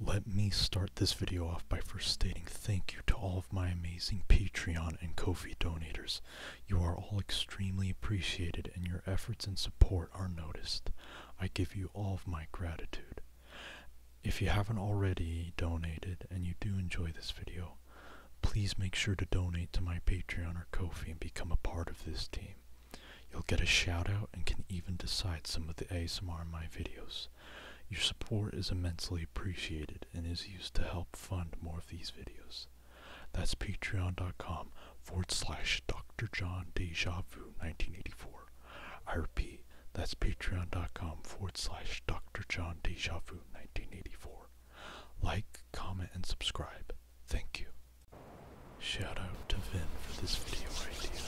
Let me start this video off by first stating thank you to all of my amazing Patreon and Ko-fi donators. You are all extremely appreciated and your efforts and support are noticed. I give you all of my gratitude. If you haven't already donated and you do enjoy this video, please make sure to donate to my Patreon or Ko-fi and become a part of this team. You'll get a shout out and can even decide some of the ASMR in my videos. Your support is immensely appreciated and is used to help fund more of these videos. That's patreon.com forward slash Dr. John Deja Vu 1984. I repeat, that's patreon.com forward slash Dr. John Deja Vu 1984. Like, comment, and subscribe. Thank you. Shout out to Vin for this video idea.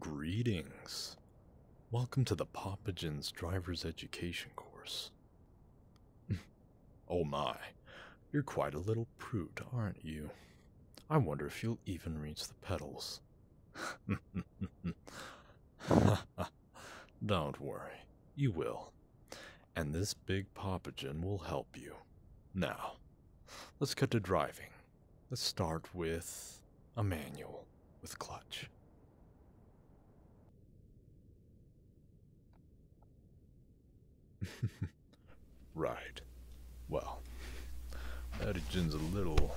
Greetings. Welcome to the Popagen's driver's education course. Oh my, you're quite a little prude, aren't you? I wonder if you'll even reach the pedals. Don't worry, you will. And this big popagen will help you. Now, let's cut to driving. Let's start with a manual with clutch right. Well, that a little, little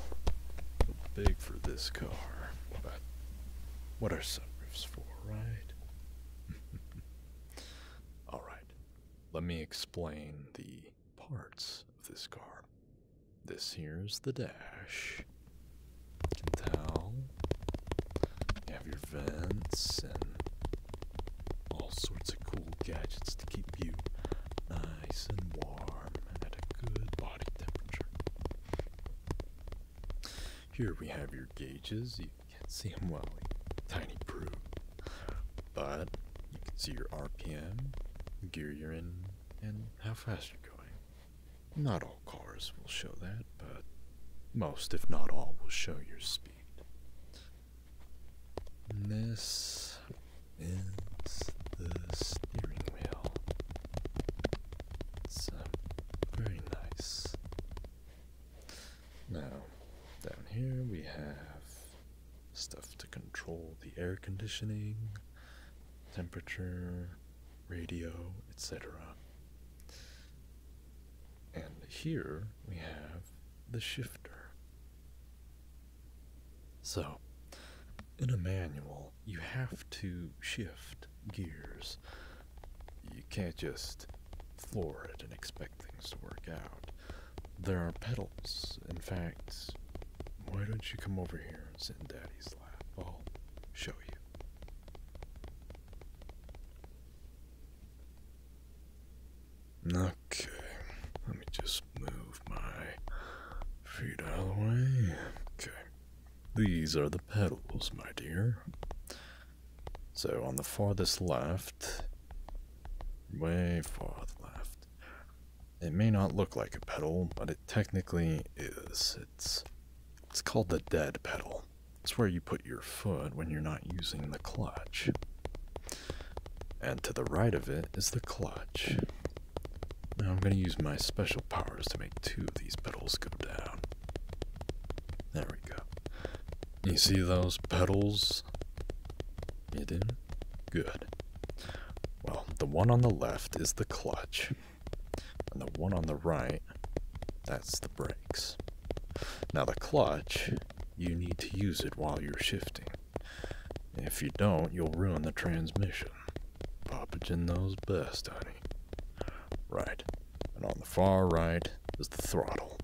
big for this car, what are sunroofs for, right? All right. Let me explain the parts of this car. This here's the dash. You can tell. You have your vents and all sorts of cool gadgets to keep you nice and warm and at a good body temperature. Here we have your gauges. You can't see them well, tiny proof, but you can see your RPM, gear you're in, and how fast you're going. Not all cars will show that, but most, if not all, will show your speed. This is the steering wheel. It's uh, very nice. Now, down here we have stuff to control the air conditioning, temperature, radio, etc. And here we have the shifter. So, in a manual, you have to shift gears. You can't just floor it and expect things to work out. There are pedals. In fact, why don't you come over here and sit in Daddy's lap? I'll show you. Okay, let me just move my feet out of the way. Okay, these are the pedals, my dear. So on the farthest left, way farther left, it may not look like a pedal, but it technically is. It's it's called the dead pedal pedal. It's where you put your foot when you're not using the clutch. And to the right of it is the clutch. Now I'm going to use my special powers to make two of these pedals go down. There we go. You see those pedals? You do? Good. Well, the one on the left is the clutch, and the one on the right, that's the brakes. Now, the clutch you need to use it while you're shifting. If you don't, you'll ruin the transmission. Pop it in those best, honey. Right, and on the far right is the throttle.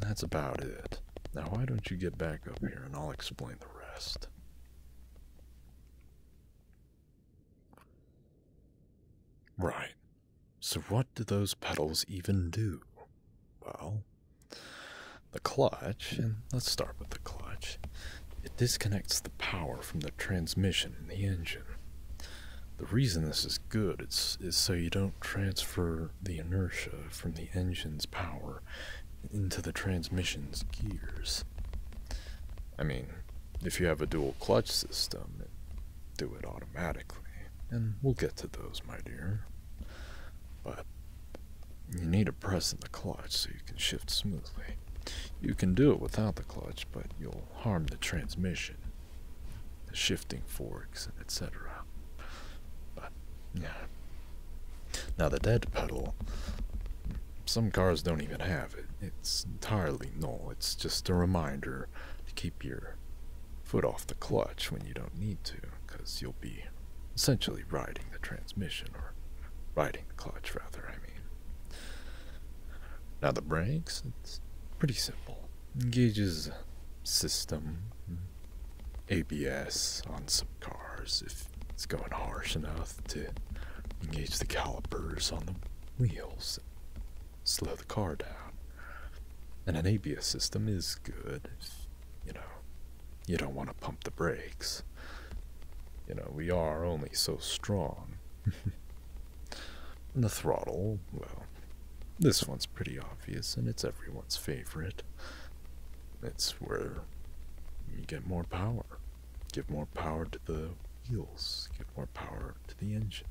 That's about it. Now why don't you get back up here and I'll explain the rest. Right, so, what do those pedals even do? Well, the clutch, and let's start with the clutch, it disconnects the power from the transmission in the engine. The reason this is good is, is so you don't transfer the inertia from the engine's power into the transmission's gears. I mean, if you have a dual clutch system, do it automatically and we'll get to those, my dear. But you need to press in the clutch so you can shift smoothly. You can do it without the clutch, but you'll harm the transmission, the shifting forks, etc. But yeah. Now the dead pedal, some cars don't even have it. It's entirely null. It's just a reminder to keep your foot off the clutch when you don't need to, because you'll be essentially riding the transmission, or riding the clutch, rather, I mean. Now, the brakes, it's pretty simple. Engages system, ABS on some cars if it's going harsh enough to engage the calipers on the wheels slow the car down. And an ABS system is good. You know, you don't want to pump the brakes. You know, we are only so strong. the throttle, well, this one's pretty obvious and it's everyone's favorite. It's where you get more power. Give more power to the wheels, give more power to the engine,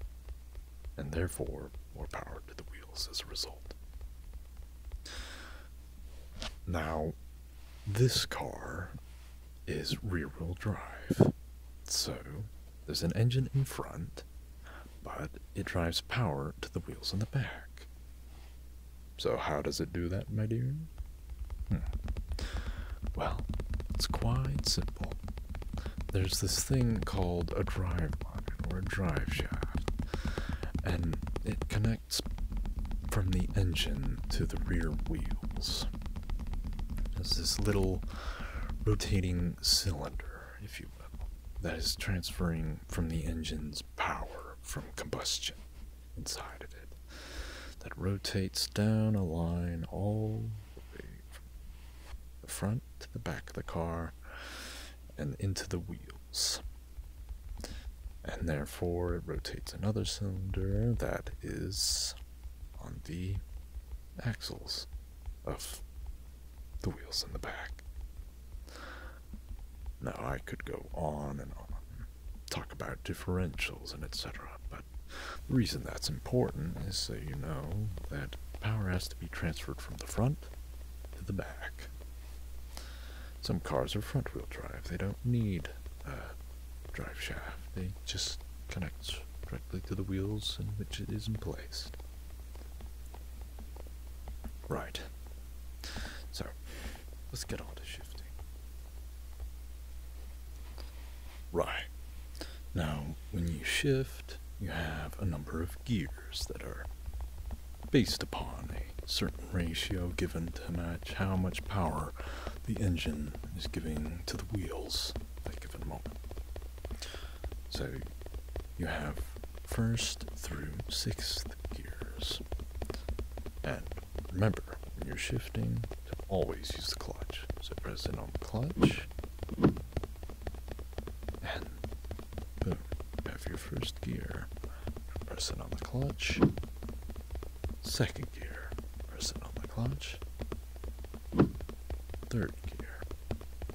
and therefore more power to the wheels as a result. Now, this car is rear wheel drive, so there's an engine in front, but it drives power to the wheels in the back. So, how does it do that, my dear? Hmm. Well, it's quite simple there's this thing called a drive line or a drive shaft, and it connects from the engine to the rear wheels. There's this little rotating cylinder, if you will, that is transferring from the engine's power from combustion inside of it, that rotates down a line all the way from the front to the back of the car and into the wheels. And therefore, it rotates another cylinder that is on the axles of the wheels in the back. Now, I could go on and on, talk about differentials and etc., but the reason that's important is so you know that power has to be transferred from the front to the back. Some cars are front wheel drive, they don't need a drive shaft, they just connect directly to the wheels in which it is in place. Right. So, let's get on to shifting. Right. Now, when you shift, you have a number of gears that are based upon a certain ratio given to match how much power the engine is giving to the wheels at a given moment. So you have first through sixth gears. And remember, when you're shifting, always use the clutch. So press in on clutch. And Boom. After your first gear, press it on the clutch. Second gear, press it on the clutch. Third gear,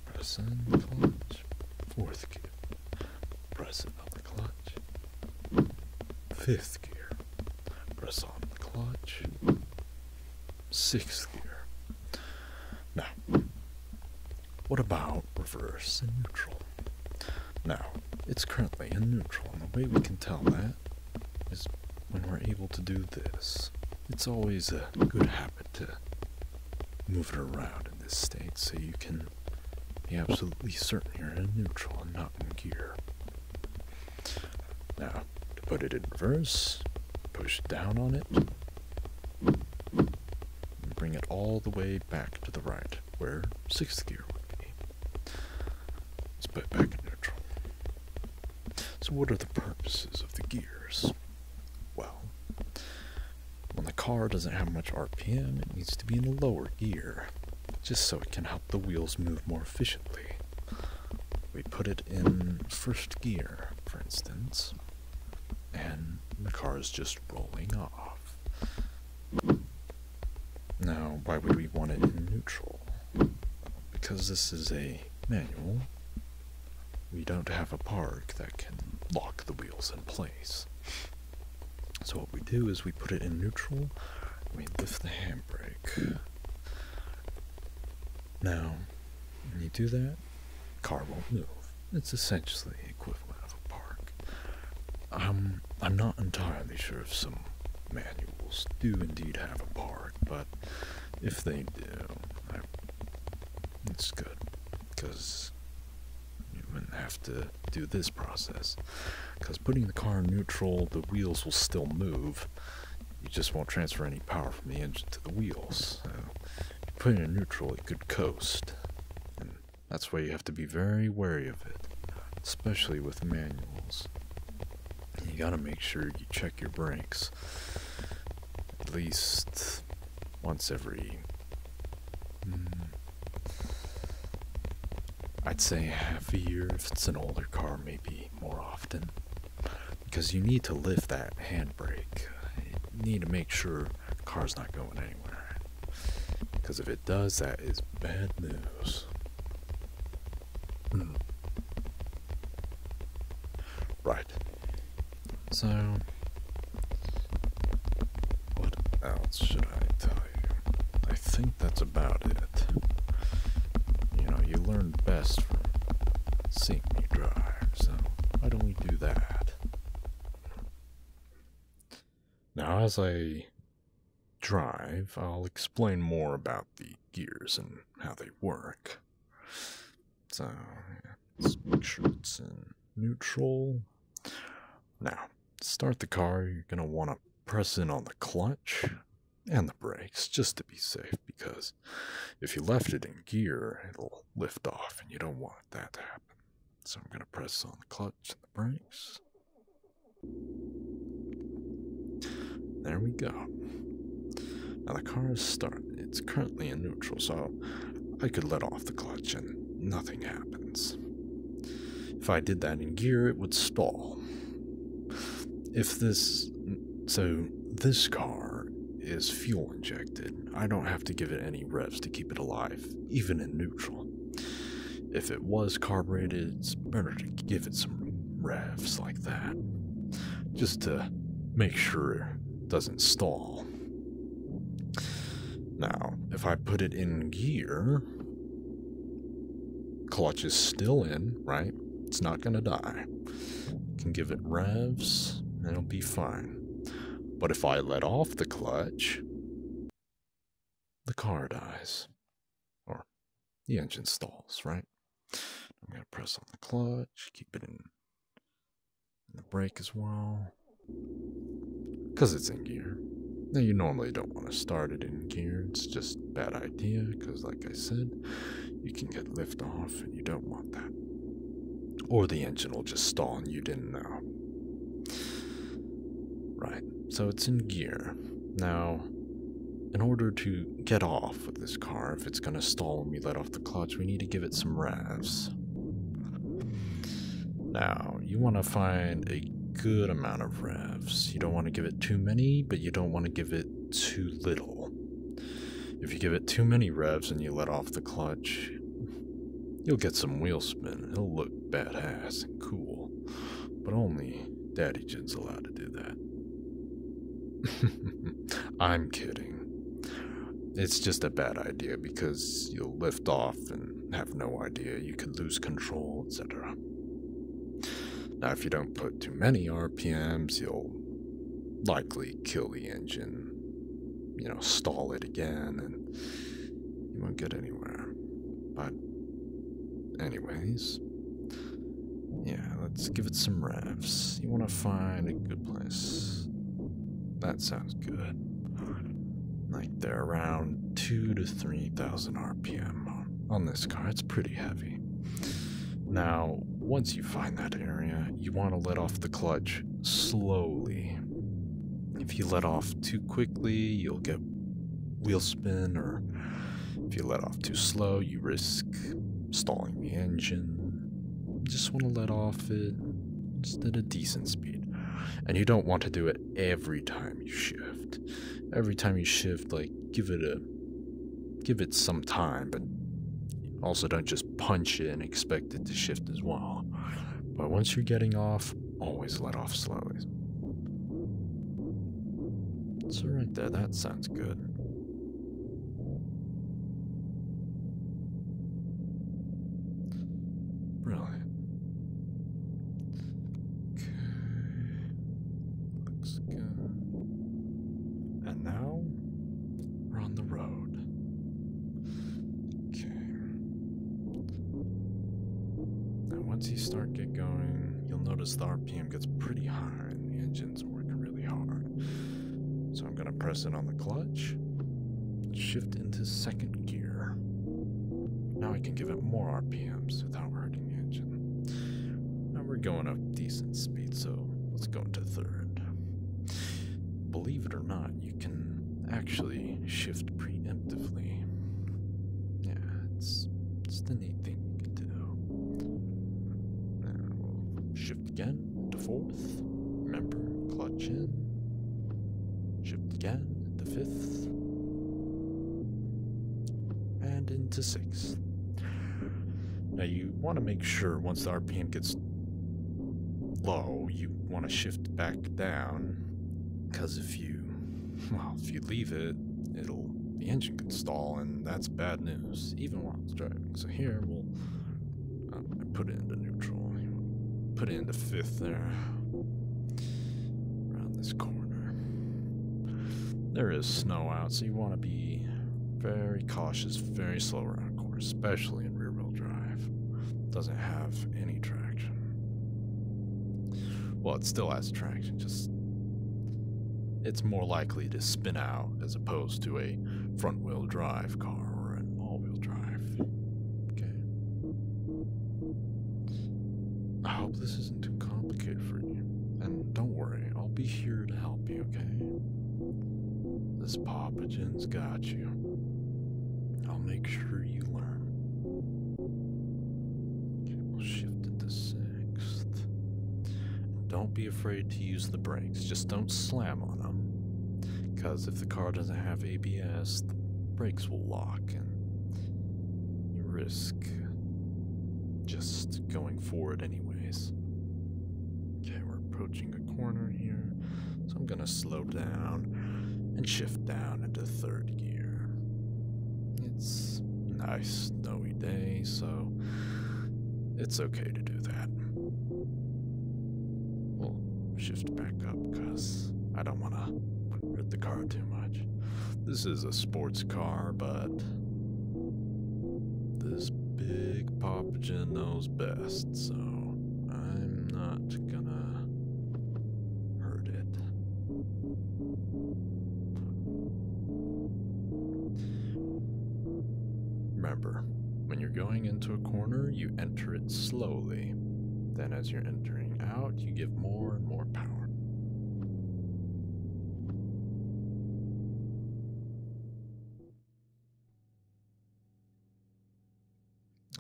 press on the clutch. Fourth gear, press it on the clutch. Fifth gear, press on the clutch. Sixth gear. Now, what about reverse and neutral? Now, it's currently in neutral, and the way we can tell that is when we're able to do this. It's always a good habit to move it around in this state so you can be absolutely certain you're in neutral and not in gear. Now, to put it in reverse, push down on it, and bring it all the way back to the right, where sixth gear would be. Let's put it back in neutral. So what are the purposes of the gears? Well, when the car doesn't have much RPM, it needs to be in a lower gear, just so it can help the wheels move more efficiently. We put it in first gear, for instance, and the car is just rolling off. Now, why would we want it in neutral? Because this is a manual, we don't have a park that can lock the wheels in place. So what we do is we put it in neutral, we lift the handbrake. Now, when you do that, Car won't move. It's essentially equivalent of a park. Um, I'm not entirely sure if some manuals do indeed have a park, but if they do, it's good because you wouldn't have to do this process. Because putting the car in neutral, the wheels will still move. You just won't transfer any power from the engine to the wheels put it in neutral, it could coast. And that's why you have to be very wary of it, especially with manuals. You gotta make sure you check your brakes at least once every. Hmm, I'd say half a year if it's an older car, maybe more often. Because you need to lift that handbrake. You need to make sure the car's not going anywhere. Because if it does, that is bad news. Hmm. Right. So, what else should I tell you? I think that's about it. You know, you learn best from seeing me drive, so why don't we do that? Now, as I drive, I'll explain more about the gears and how they work. So, make sure it's in neutral. Now, start the car, you're going to want to press in on the clutch and the brakes just to be safe because if you left it in gear, it'll lift off and you don't want let that happen. So I'm going to press on the clutch and the brakes. There we go. Now the car is started. It's currently in neutral, so I could let off the clutch and nothing happens. If I did that in gear, it would stall. If this. So this car is fuel injected. I don't have to give it any revs to keep it alive, even in neutral. If it was carbureted, it's better to give it some revs like that, just to make sure it doesn't stall. Now, if I put it in gear, clutch is still in, right? It's not gonna die. Can give it revs, and it'll be fine. But if I let off the clutch, the car dies. Or the engine stalls, right? I'm going to press on the clutch, keep it in the brake as well. Because it's in gear. Now, you normally don't want to start it in gear. It's just bad idea because, like I said, you can get lift off and you don't want that. Or the engine will just stall and you didn't know. Right, so it's in gear. Now, in order to get off with this car, if it's gonna stall when we let off the clutch, we need to give it some revs. Now, you wanna find a good amount of revs. You don't wanna give it too many, but you don't wanna give it too little. If you give it too many revs and you let off the clutch, You'll get some wheel spin. It'll look badass and cool. But only Daddy Jin's allowed to do that. I'm kidding. It's just a bad idea because you'll lift off and have no idea. You could lose control, etc. Now, if you don't put too many RPMs, you'll likely kill the engine you know, stall it again and you won't get anywhere. But, anyways, yeah, let's give it some revs. You want to find a good place. That sounds good. Like they're around two to three thousand RPM on this car. It's pretty heavy. Now, once you find that area, you want to let off the clutch slowly if you let off too quickly, you'll get wheel spin, or if you let off too slow, you risk stalling the engine. just want to let off it just at a decent speed. And you don't want to do it every time you shift. Every time you shift, like give it a give it some time, but also don't just punch it and expect expect it to shift as well. But once you're getting off, always let off slowly. It's alright there, that sounds good. Brilliant. Okay. Looks good. And now we're on the road. Okay. Now once you start get going, you'll notice the RPM gets pretty high and the engine's working really hard. So I'm gonna press it on the clutch, shift into second gear. Now I can give it more RPMs without hurting the engine. Now we're going up decent speed, so let's go into third. Believe it or not, you can actually shift preemptively. Yeah, it's it's the neat thing you can do. shift again to fourth. Remember, clutch in. Shift again to fifth. And into sixth. Now you want to make sure once the RPM gets low, you want to shift back down. Because if you, well, if you leave it, it'll, the engine can stall, and that's bad news, even while it's driving. So here, we'll I um, put it into neutral, put it into fifth there, around this corner. There is snow out, so you want to be very cautious, very slow around especially in rear wheel drive, doesn't have any traction. Well, it still has traction, just it's more likely to spin out as opposed to a front wheel drive car or an all wheel drive. Okay. I hope this isn't too complicated for you. And don't worry, I'll be here to help you, okay? This Papagen's got you. I'll make sure you learn. we'll shift to sixth. And don't be afraid to use the brakes. Just don't slam on them. Because if the car doesn't have ABS, the brakes will lock and you risk just going forward anyways. Okay, we're approaching a corner here. So I'm going to slow down and shift down into third gear. It's nice snowy day, so it's okay to do that. We'll shift back up because I don't want to hurt the car too much. This is a sports car, but this big Papa knows best so I'm not gonna hurt it. Remember, when you're going into a corner, you enter it slowly. Then, as you're entering out, you give more and more power.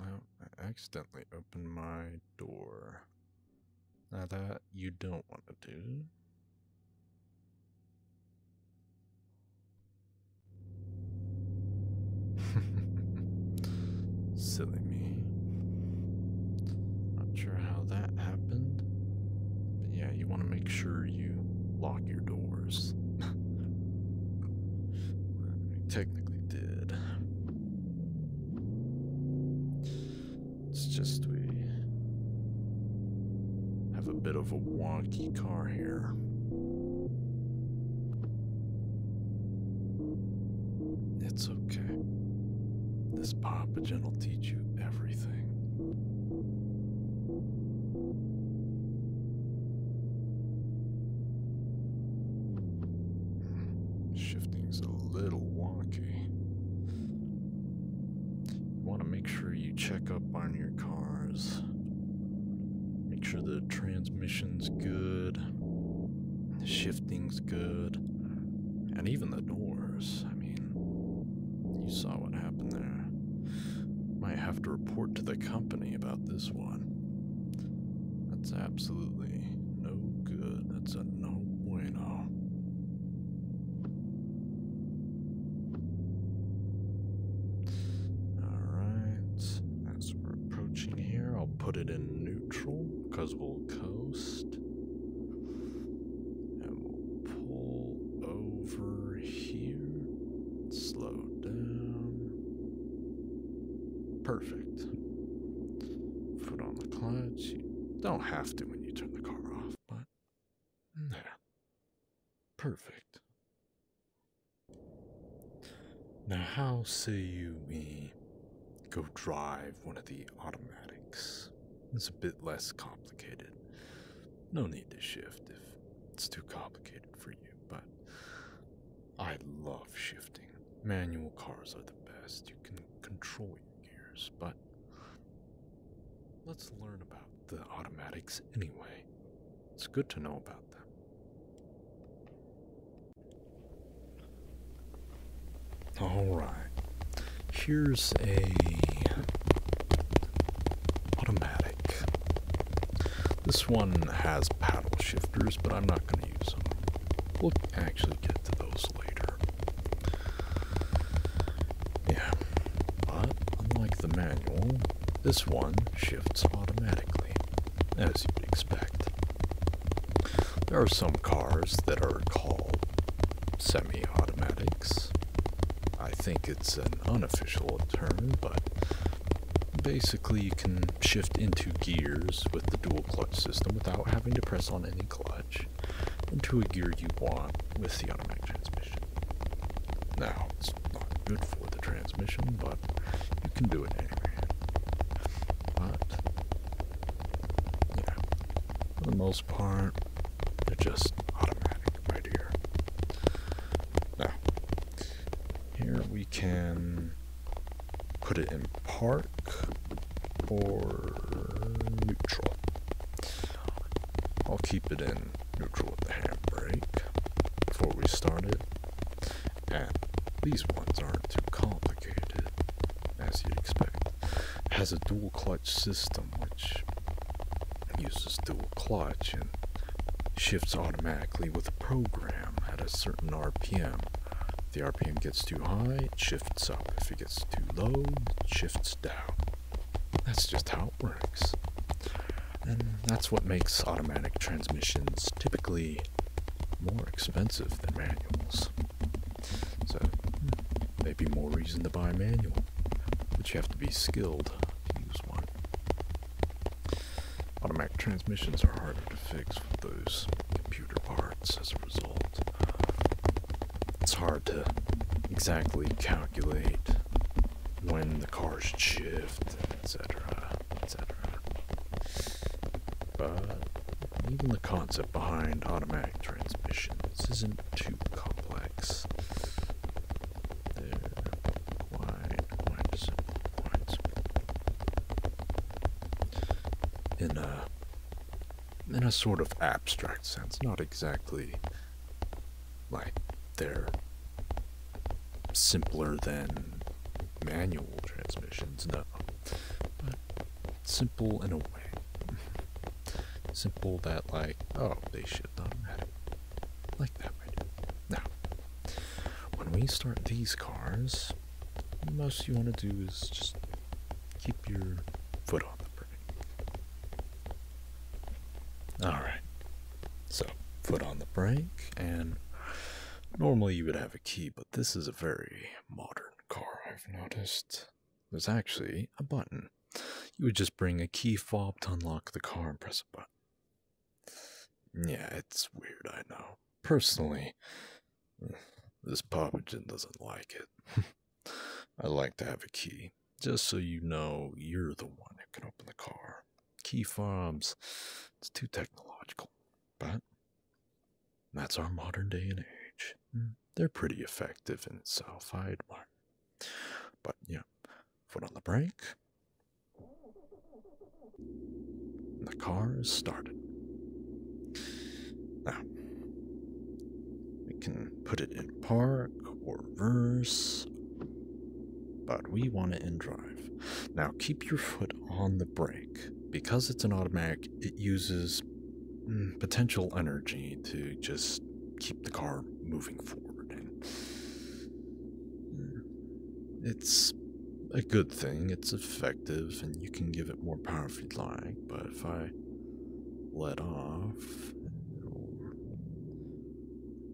Oh, I accidentally opened my door. Now that you don't want to do. Silly me. Not sure how that happened. But yeah, you want to make sure you lock your doors. technically, it's just we have a bit of a wonky car here. It's okay. This Papagen will teach you everything. Shifting's a little wonky. You want to make sure you check up on your cars. Make sure the transmission's good, the shifting's good, and even the doors. I mean, you saw what happened there. Might have to report to the company about this one. That's absolutely no good. That's a no bueno. Alright, as we're approaching here, I'll put it in neutral because we'll coast. And we'll pull over here. Slow down. Perfect. Foot on the clutch. You don't have to when you turn the car off, but there. Perfect. Now, how say you we go drive one of the automatics? It's a bit less complicated. No need to shift if it's too complicated for you, but I love shifting. Manual cars are the best. You can control your gears, but let's learn about the automatics anyway. It's good to know about them. Alright, here's a automatic. This one has paddle shifters, but I'm not We'll actually get to those later. Yeah, unlike the manual, this one shifts automatically, as you'd expect. There are some cars that are called semi automatics. I think it's an unofficial term, but basically you can shift into gears with the dual clutch system without having to press on any clutch into a gear you want with the automatic transmission. Now, it's not good for the transmission, but you can do it anyway. But, yeah, for the most part, they're just automatic right here. Now, here we can put it in park or neutral. I'll keep it in neutral with the handbrake before we start it. And these ones aren't too complicated, as you'd expect. has a dual clutch system, which uses dual clutch and shifts automatically with a program at a certain RPM the RPM gets too high, it shifts up. If it gets too low, it shifts down. That's just how it works. And that's what makes automatic transmissions typically more expensive than manuals. So, hmm, maybe more reason to buy a manual, but you have to be skilled to use one. Automatic transmissions are harder to fix with those computer parts as a result. It's hard to exactly calculate when the car should shift, etc., etc. But even the concept behind automatic transmissions isn't too complex. There. In a, uh, in a sort of abstract sense, not exactly like they're simpler than manual transmissions, no, but simple in a way. simple that, like, oh, they should not have it. Like that, right? Now, when we start these cars, most you want to do is just keep your foot on the brake. Alright, so foot on the brake, and normally you would have a key, but this is a very modern car, I've noticed. There's actually a button. You would just bring a key fob to unlock the car and press a button. Yeah, it's weird, I know. Personally, this Poppigen doesn't like it. I like to have a key, just so you know you're the one who can open the car. Key fobs, it's too technological. But that's our modern day and age. Mm, they're pretty effective in itself, I admire. But yeah, foot on the brake, the car is started. Now, we can put it in park or reverse, but we want it in drive. Now, keep your foot on the brake. Because it's an automatic, it uses mm, potential energy to just keep the car moving forward. Mm, it's a good thing, it's effective, and you can give it more power if you'd like, but if I let off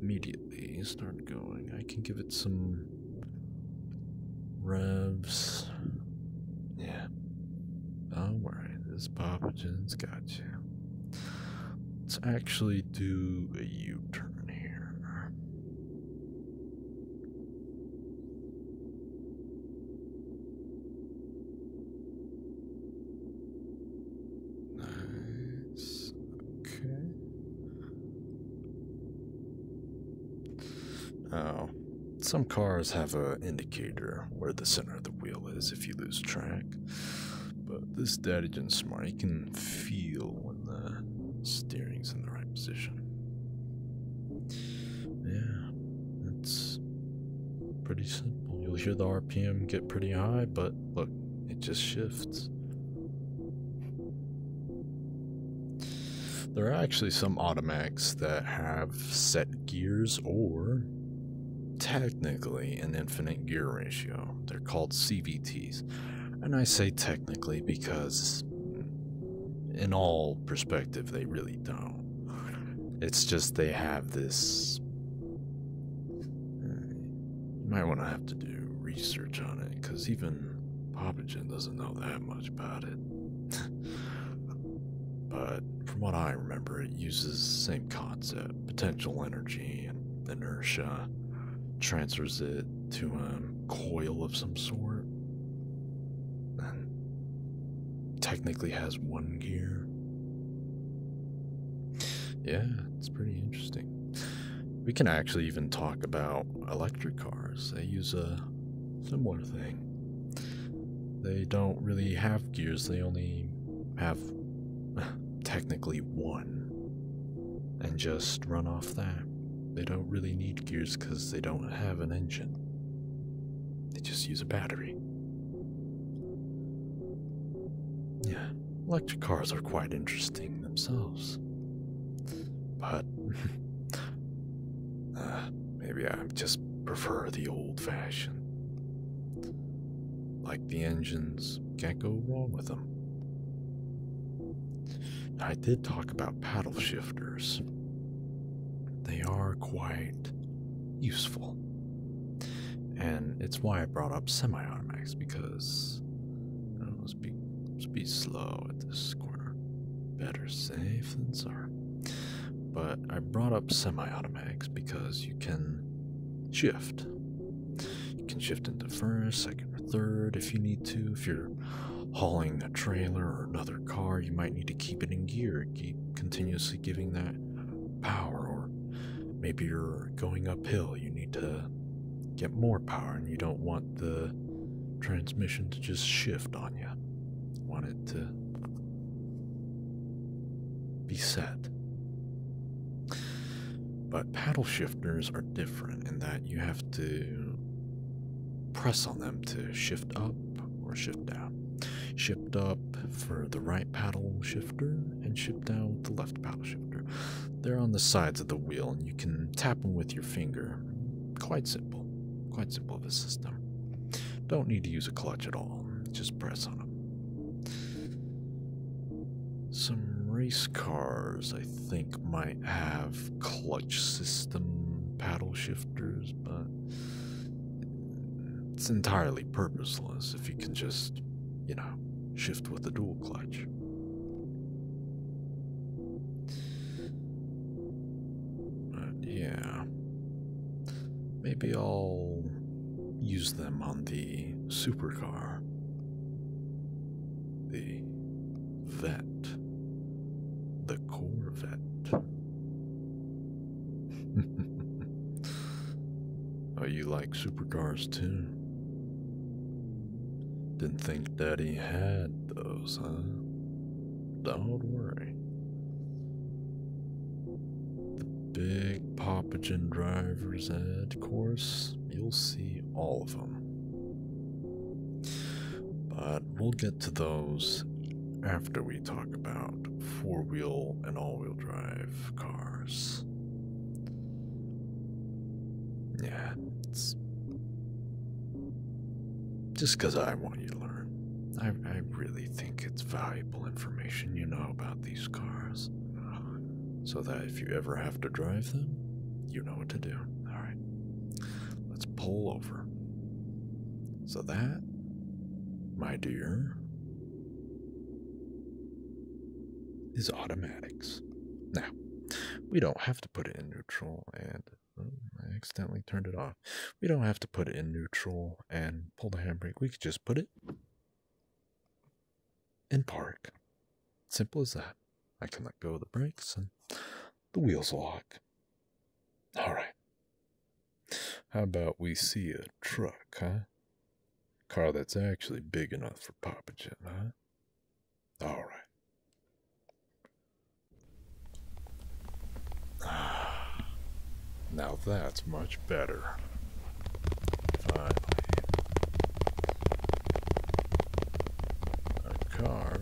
immediately start going, I can give it some revs. Yeah. Don't worry, this pathogen's got you. Let's actually do a U turn here. Nice. Okay. Oh. Some cars have a indicator where the center of the wheel is if you lose track. But this Daddy Smart, you can feel the steering's in the right position. Yeah, it's pretty simple. You'll hear the RPM get pretty high, but look, it just shifts. There are actually some automatics that have set gears or technically an infinite gear ratio. They're called CVTs. And I say technically because in all perspective, they really don't. It's just they have this. You might want to have to do research on it, because even Papagen doesn't know that much about it. but from what I remember, it uses the same concept potential energy and inertia, transfers it to a um, coil of some sort. technically has one gear. Yeah, it's pretty interesting. We can actually even talk about electric cars. They use a similar thing. They don't really have gears, they only have technically one. And just run off that. They don't really need gears because they don't have an engine, they just use a battery. Yeah, electric cars are quite interesting themselves. But uh, maybe I just prefer the old fashioned. Like the engines, can't go wrong with them. I did talk about paddle shifters. They are quite useful. And it's why I brought up semi automatics because you know, be, let's be slow at this corner. Better safe than sorry. But I brought up semi automatics because you can shift. You can shift into first, second, or third if you need to, if you're hauling a trailer or another car, you might need to keep it in gear, keep continuously giving that power. Or maybe you're going uphill, you need to get more power, and you don't want the transmission to just shift on you want it to be set. But paddle shifters are different in that you have to press on them to shift up or shift down. Shift up for the right paddle shifter and shift down with the left paddle shifter. They're on the sides of the wheel and you can tap them with your finger. Quite simple. Quite simple of a system. Don't need to use a clutch at all. Just press on them. Some race cars, I think might have clutch system paddle shifters, but it's entirely purposeless if you can just, you know, shift with a dual clutch. But yeah. Maybe I'll use them on the supercar. The Vet. The Corvette. Are oh, you like supercars too? Didn't think Daddy had those, huh? Don't worry. The big Papagen driver's ed course, you'll see all of them. By we'll get to those after we talk about four wheel and all wheel drive cars. Yeah, it's just because I want you to learn. I, I really think it's valuable information you know about these cars. So that if you ever have to drive them, you know what to do. Alright, let's pull over. So that, my dear, is automatics. Now, we don't have to put it in neutral and oh, I accidentally turned it off. We don't have to put it in neutral and pull the handbrake. We could just put it in park. Simple as that. I can let go of the brakes and the wheels lock. All right. How about we see a truck, huh? Car that's actually big enough for Papa Jim, huh? All right. Now that's much better a car,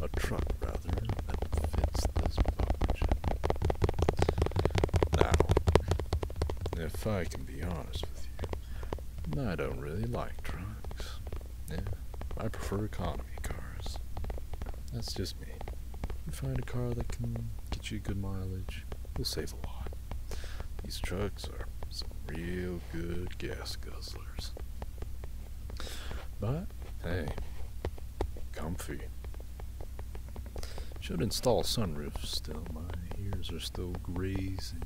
or a truck rather, that fits this box. Now, if I can be honest with you, I don't really like trucks. I prefer economy cars. That's just me. You find a car that can get you good mileage, you'll save a lot. These trucks are some real good gas guzzlers. But hey, comfy. Should install sunroof still. My ears are still grazing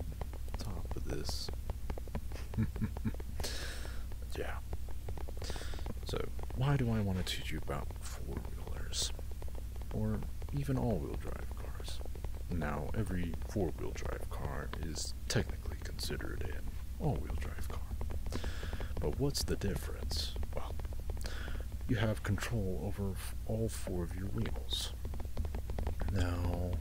top of this. yeah. So, why do I want to teach you about four wheelers? Or even all wheel drive cars? Now, every four wheel drive car is technically Considered an all-wheel drive car. But what's the difference? Well, you have control over all four of your wheels. Now,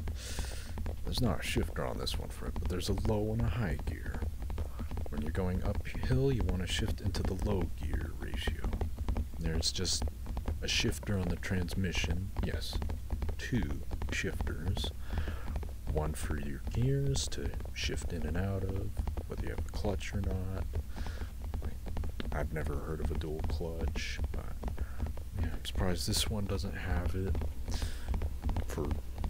there's not a shifter on this one for but there's a low and a high gear. When you're going uphill, you want to shift into the low gear ratio. There's just a shifter on the transmission, yes, two shifters one for your gears to shift in and out of, whether you have a clutch or not. I've never heard of a dual clutch, but yeah, I'm surprised this one doesn't have it for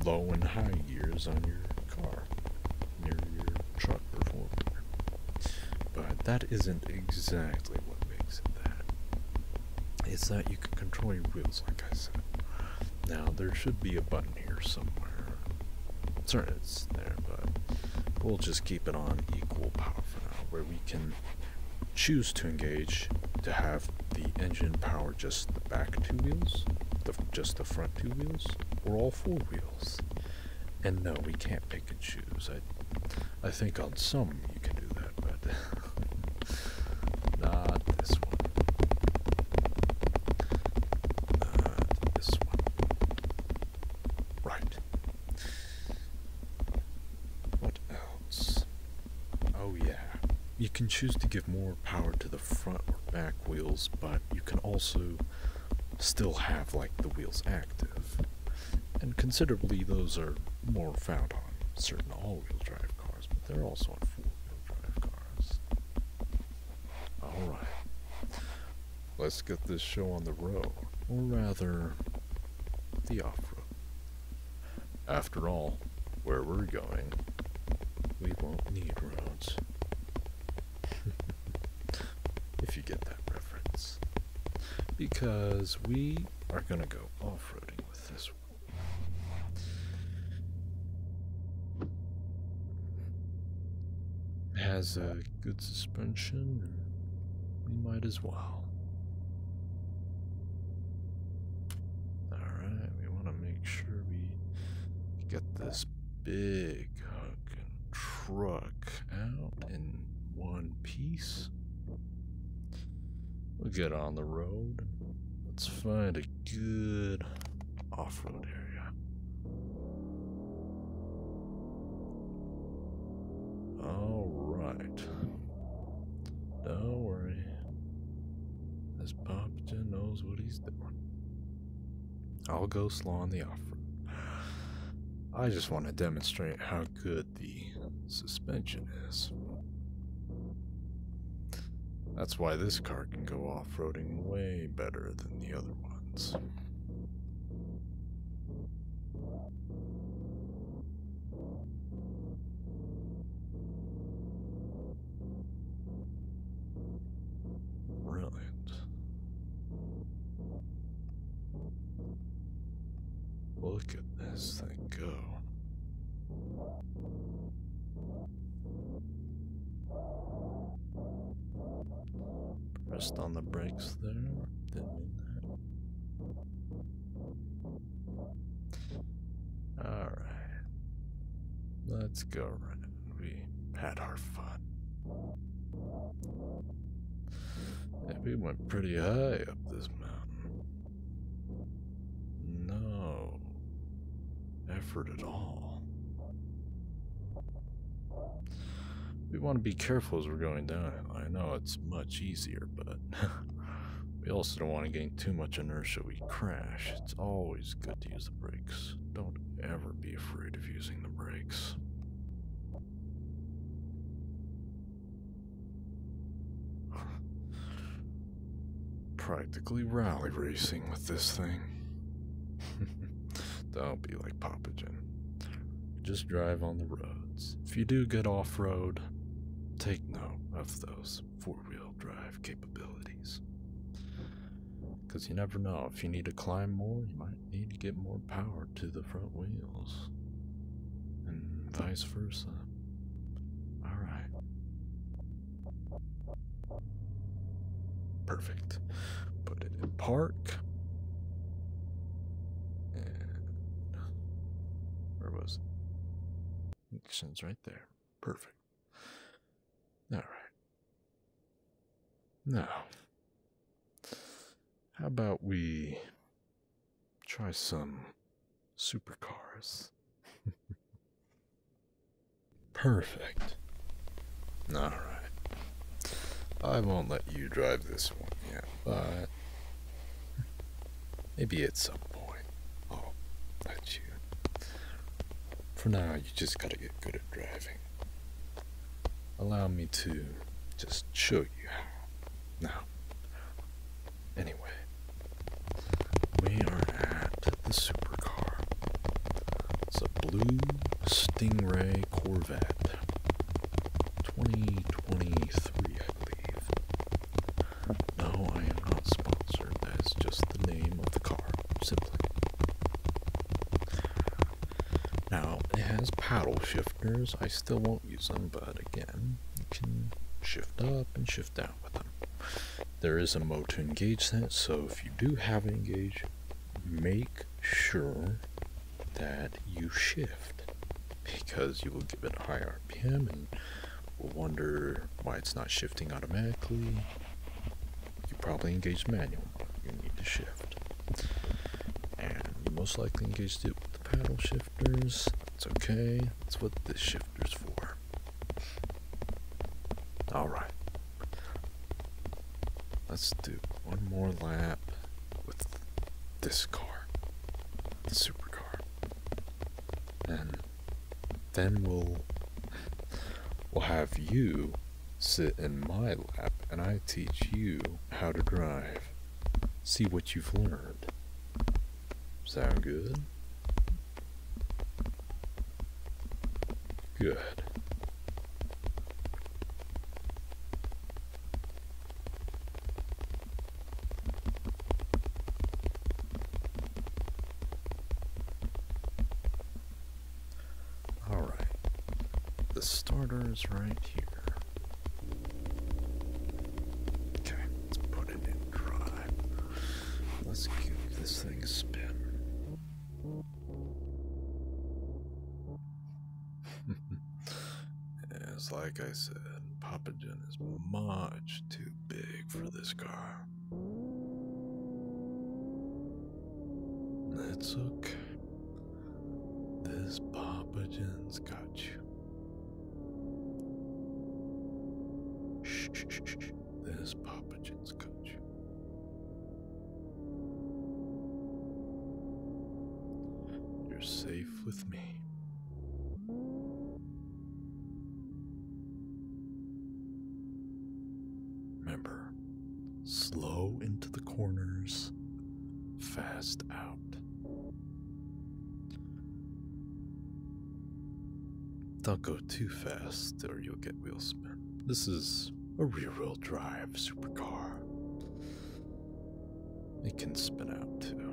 low and high gears on your car, near your truck or But that isn't exactly what makes it that. It's that you can control your wheels, like I said. Now there should be a button here somewhere. Sorry, it's there, but we'll just keep it on equal power for now, where we can choose to engage to have the engine power just the back two wheels, the, just the front two wheels, or all four wheels. And no, we can't pick and choose. I, I think on some you can do that, but Not this one. Not this one. Right. What else? Oh, yeah. You can choose to give more power to the front or back wheels, but you can also still have like the wheels active. And considerably those are more found on certain all-wheel drive cars, but they're also on four-wheel drive cars. Alright. Let's get this show on the road. Or rather, the off road. After all, where we're going, we won't need roads. if you get that reference. Because we are going to go off roading with this one. Has a good suspension. We might as well. Alright, we want to make sure we get this big truck out in one piece. We'll get on the road. Let's find a good off-road area. Alright. Don't worry. This Poppington knows what he's doing. I'll go slow on the off-road. I just want to demonstrate how good the suspension is. That's why this car can go off-roading way better than the other ones. Brilliant. Look at this thing go. Pressed on the brakes there. Didn't mean that. Alright. Let's go We had our fun. Yeah, we went pretty high up this mountain. No effort at all. We want to be careful as we're going down. I know it's much easier, but we also don't want to gain too much inertia we crash. It's always good to use the brakes. Don't ever be afraid of using the brakes. Practically rally racing with this thing. Don't be like Papa Just drive on the roads. If you do get off road, take note of those four wheel drive capabilities. Because you never know, if you need to climb more, you might need to get more power to the front wheels, and vice versa. Alright, Perfect. Put it in park. where was it? Actions right there. Perfect. All right. Now, how about we try some supercars? Perfect. Alright. I won't let you drive this one yet, but maybe at some point I'll let you. For now, you just gotta get good at driving. Allow me to just show you how. Now, anyway, we are at the supercar. It's a blue Stingray Corvette. 2023, I believe. No, I am not sponsored. That's just the name of the car, simply. Now, it has paddle shifters. I still won't use them, but again, you can shift up and shift down with them. There is a mode to engage that, so if you do have it engaged, make sure that you shift because you will give it a high RPM and will wonder why it's not shifting automatically. You probably engaged manual You need to shift. And you most likely engaged it with the paddle shifters. It's okay. That's what this shift shifters for. Alright. Let's do one more lap with this car, supercar. And then we'll we'll have you sit in my lap and I teach you how to drive. See what you've learned. Sound good? Good. All right. The starter is right here. Okay, let's put it in drive. Let's give this thing a spin. As like I said, Papa John is much too big for this car. It's okay. This Papa John's got you. This Papa John's questions, coach. You're safe with me. Remember, slow into the corners, fast out. Don't go too fast or you'll get wheel spin. This is a rear-wheel drive supercar. It can spin out too.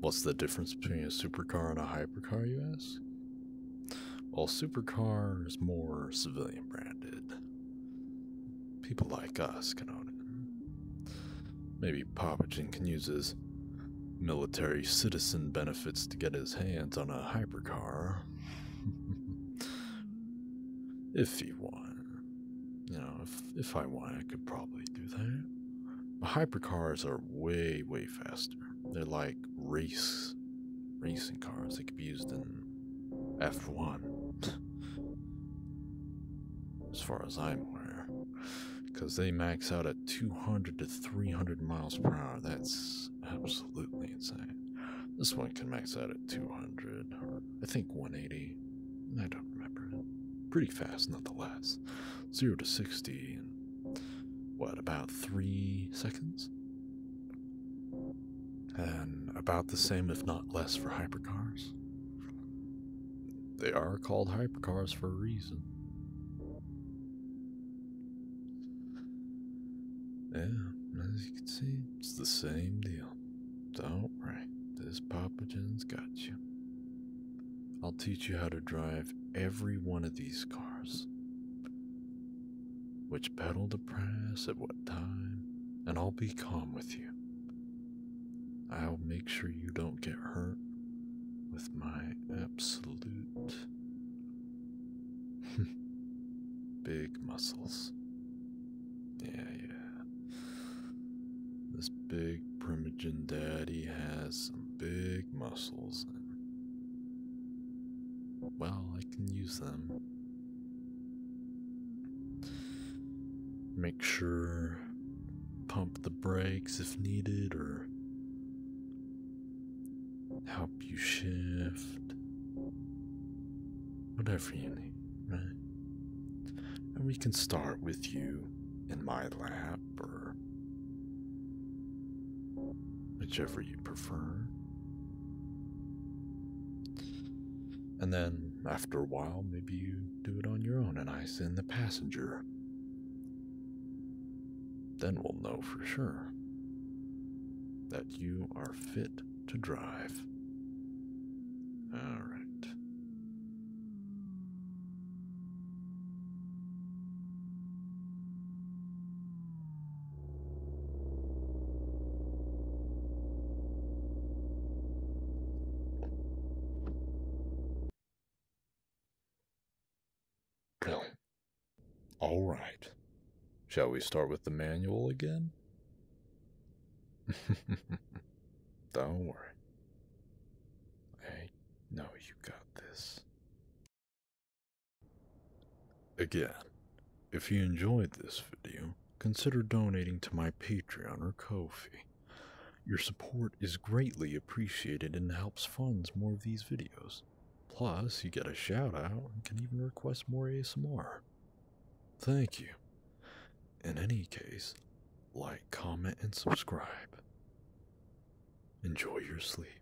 What's the difference between a supercar and a hypercar, you ask? Well, supercar is more civilian branded. People like us can own it. Maybe Popichin can use his military citizen benefits to get his hands on a hypercar. if he want. You know, if, if I want, I could probably do that. hypercars are way, way faster. They're like race racing cars. They could be used in F1. as far as I'm aware. Because they max out at 200 to 300 miles per hour. That's absolutely insane. This one can max out at 200, or I think 180. I don't remember. Pretty fast, nonetheless. 0 to 60 in, what, about 3 seconds? And about the same, if not less, for hypercars. They are called hypercars for a reason. Yeah, as you can see, it's the same deal. Don't worry, this Papa John's got you. I'll teach you how to drive every one of these cars. Which pedal to press at what time, and I'll be calm with you. I'll make sure you don't get hurt with my absolute big muscles. Yeah, yeah. This big primogen daddy has some big muscles, well, I can use them. Make sure pump the brakes if needed or help you shift. Whatever you need, right? And we can start with you in my lap or whichever you prefer. And then after a while, maybe you do it on your own and I send the passenger. Then we'll know for sure that you are fit to drive. All right. Go. All right. Shall we start with the manual again? Don't worry. I know you got this. Again, if you enjoyed this video, consider donating to my Patreon or Ko-fi. Your support is greatly appreciated and helps funds more of these videos. Plus, you get a shout out and can even request more ASMR. Thank you. In any case, like, comment, and subscribe. Enjoy your sleep.